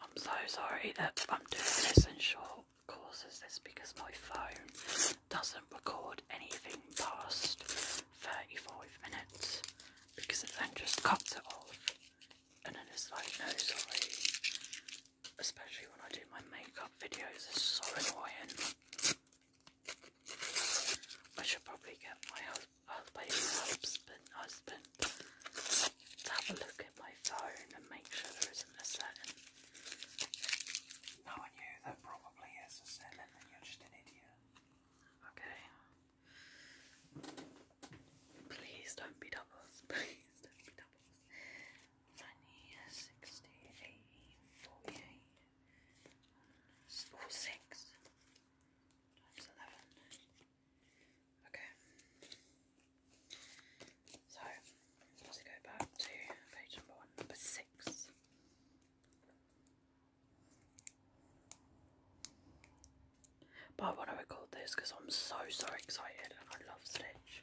I'm so sorry that I'm doing this in short courses this because my phone doesn't record anything past 35 minutes because it then just cuts it off and then it's like no sorry especially when I do my makeup videos it's so annoying I should probably get my husband I'll but has been. let have a look at my phone and make sure there isn't a setting. Knowing you, there probably is a setting, you're just an idiot. Okay. Please don't be doubles. Please don't be doubles. 90, 60, Okay. So, let's go back to page number one, number six. But I want to record this because I'm so, so excited I love Stitch.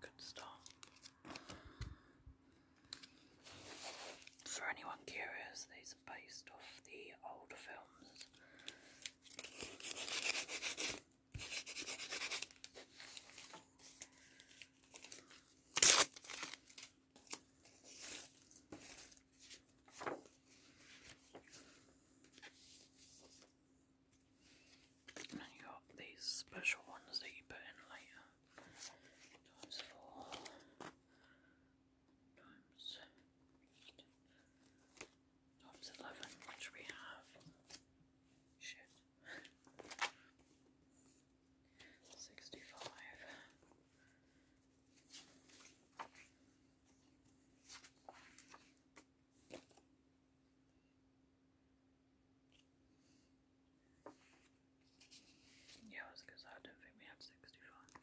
Good stuff. For anyone curious, these are based off the old films. And you got these special ones that you put in later. Times four. Times eight. Times eleven, which we have. Shit. Sixty-five. Yeah, I was because I don't think we had sixty five.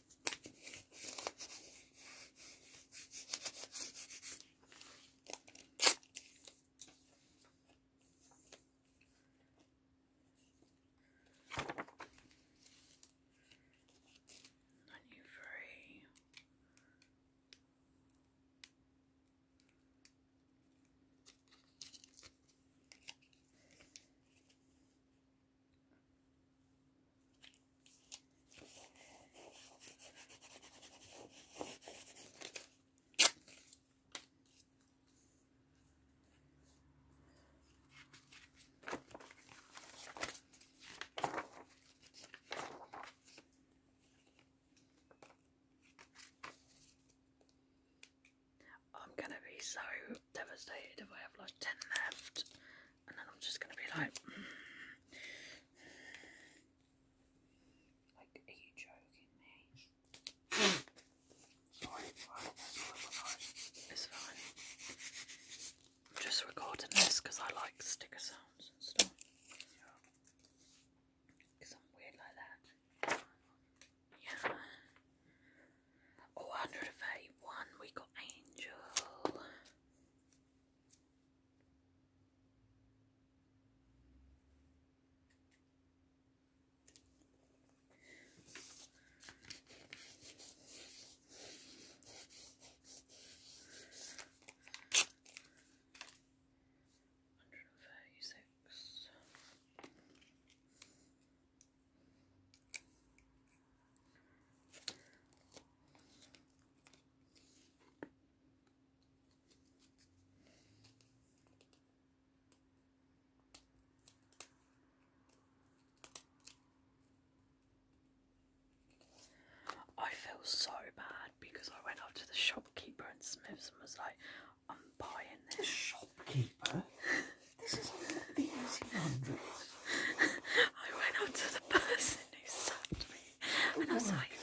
Ninety-three. I'm gonna be so devastated if I have like 10 left and then I'm just gonna be like, mm. like, are you joking me? Sorry, it's fine. I'm just recording this because I like sticker sounds and stuff. Because I'm weird like that. Yeah. Oh, we got Angel. 136 I feel so bad because I went up to the shopkeeper and Smiths and was like, I'm buying this. shopkeeper? this is like the 1800s. I went up to the person who served me and I was oh like,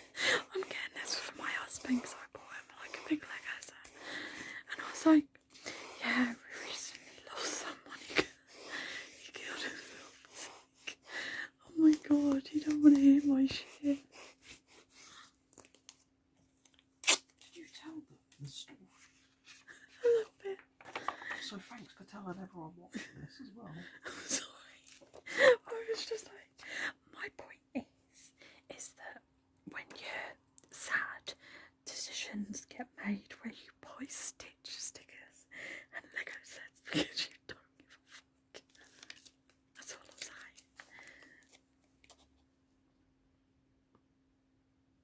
I'm getting this for my husband because I bought him like a big leg hazard. And I was like, yeah, we recently lost someone. He, he killed himself. Like, oh my god, you don't want to hear my shit. you tell them a little bit. So thanks for telling everyone watching this as well. i was just like, my point is, is that when you're sad, decisions get made where you buy Stitch stickers and Lego because you don't give a fuck. That's all I'm saying.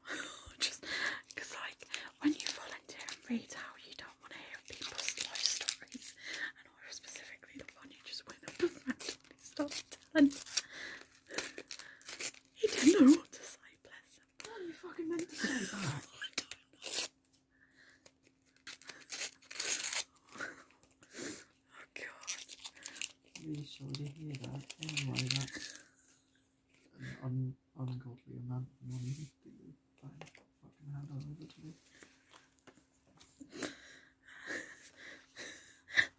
just because, like, when you volunteer and read out, you don't want to hear people's life stories, and or specifically the one you just went up and randomly stopped telling. He didn't know what to say, bless him. What are you oh god an ungodly amount of money to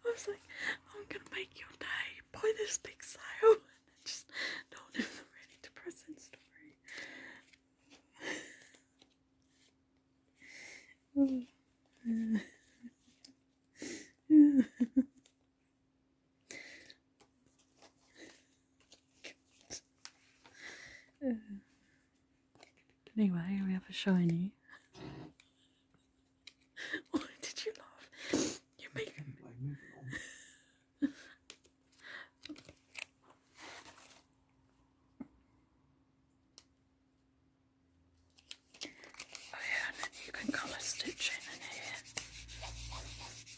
I was like, I'm gonna make your day. Buy this big sale. And just told him the really story. anyway, we have a shiny. Why did you laugh? You make me. Oh yeah, you can colour stitch in and here.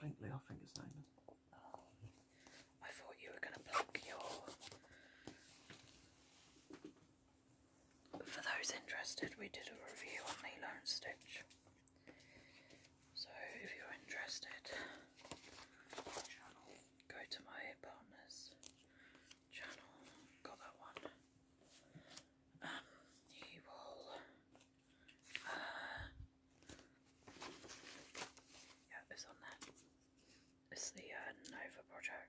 Binkley, I think his name is. I thought you were going to plug your. For those interested, we did a review on Lilo and Stitch. So if you're interested, go to my partner's channel. Got that one. Um, he will yeah, it's on there. It's the uh, Nova project.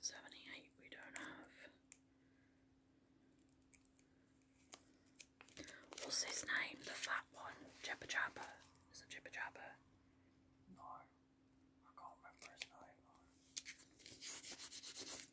Seventy-eight we don't have. What's his name? The fat one? Chippa Jabba. Is it Jibba Jabba? No. I can't remember his name.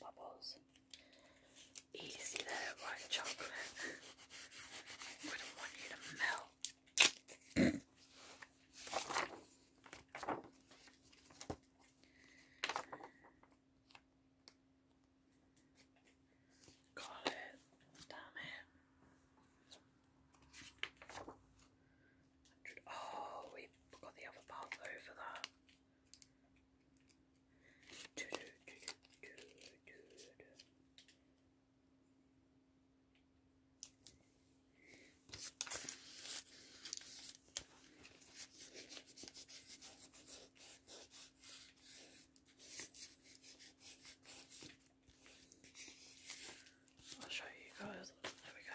bubbles. Easy there, white chocolate. Wouldn't want you to melt. Got Damn it. Oh, we got the other part though for I'll show you guys. There we go.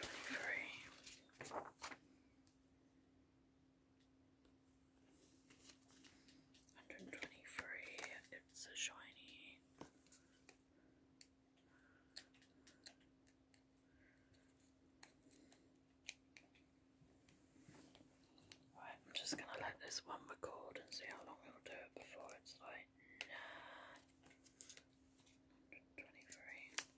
123. 120 it's a shiny. Right, I'm just gonna let this one record and see how long it'll do it before it's like nah. 123.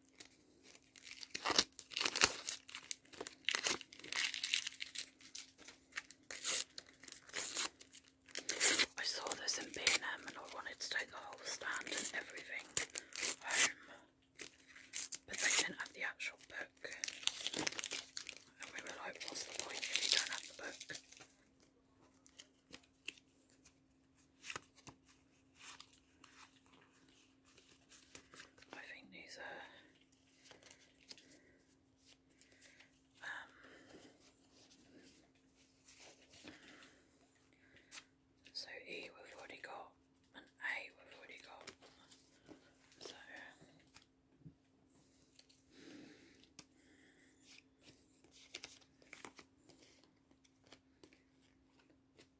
I saw this in B&M and I wanted to take the whole stand and everything home but they didn't have the actual book and we were like what's the point if you don't have the book I think these are um, so E we've already got and A we've already got so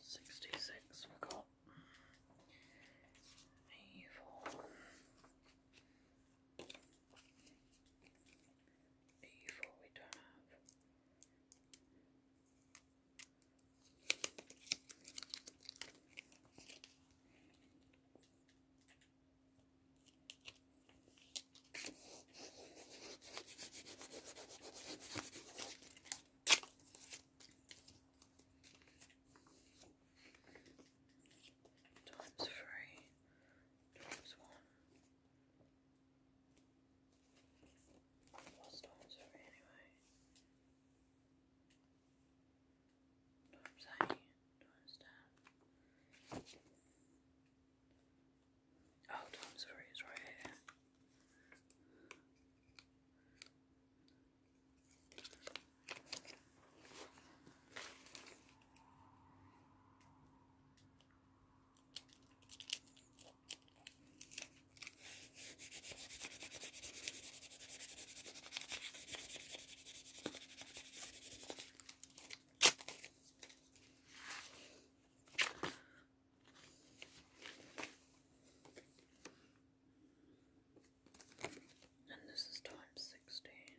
Sixty-six. We got evil, evil. We don't have times three times one. What's times three anyway? What I'm saying? Do you understand? Oh, times three is right and this is times sixteen.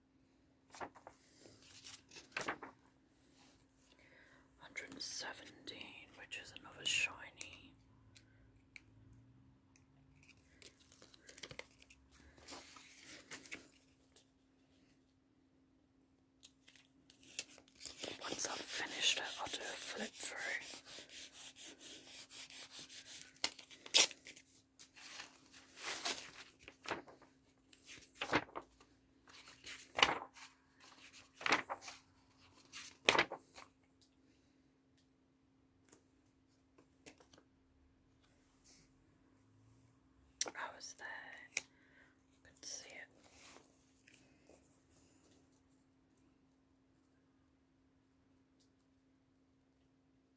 117, which is another shiny. Once I've finished it, I'll do a flip through. I was there. I see it. Nipples.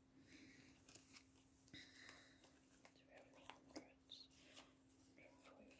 Twelve hundreds and Hundred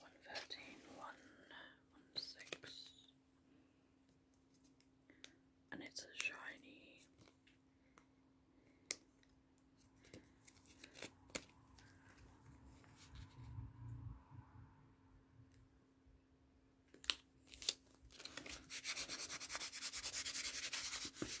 One thirteen, one one six, and it's a shiny I need some of these.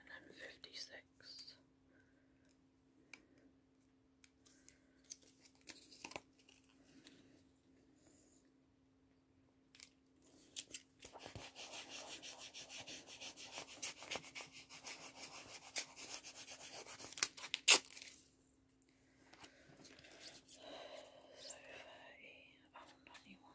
and then fifty six. So thirty, oh ninety one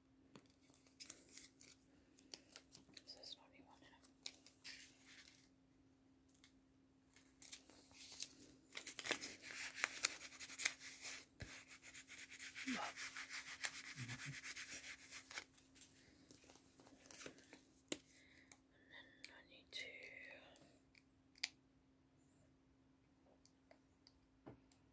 Is this what we wanted? And then I need to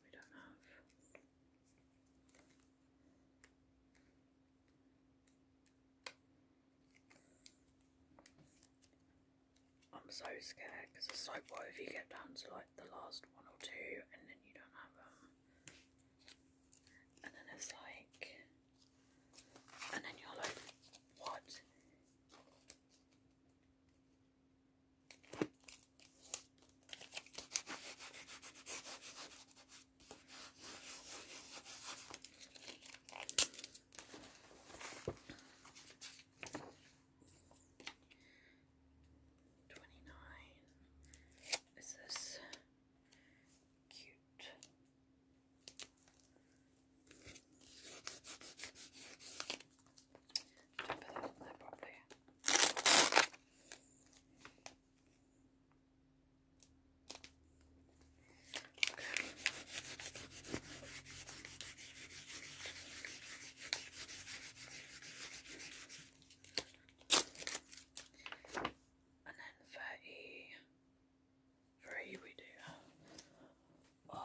we don't have. I'm so scared because it's like, what if you get down to like the last one or two and then you don't have them? And then it's like, and then you're like, what? Twenty nine. Is this cute? put that in there and then thirty three we do. Uh,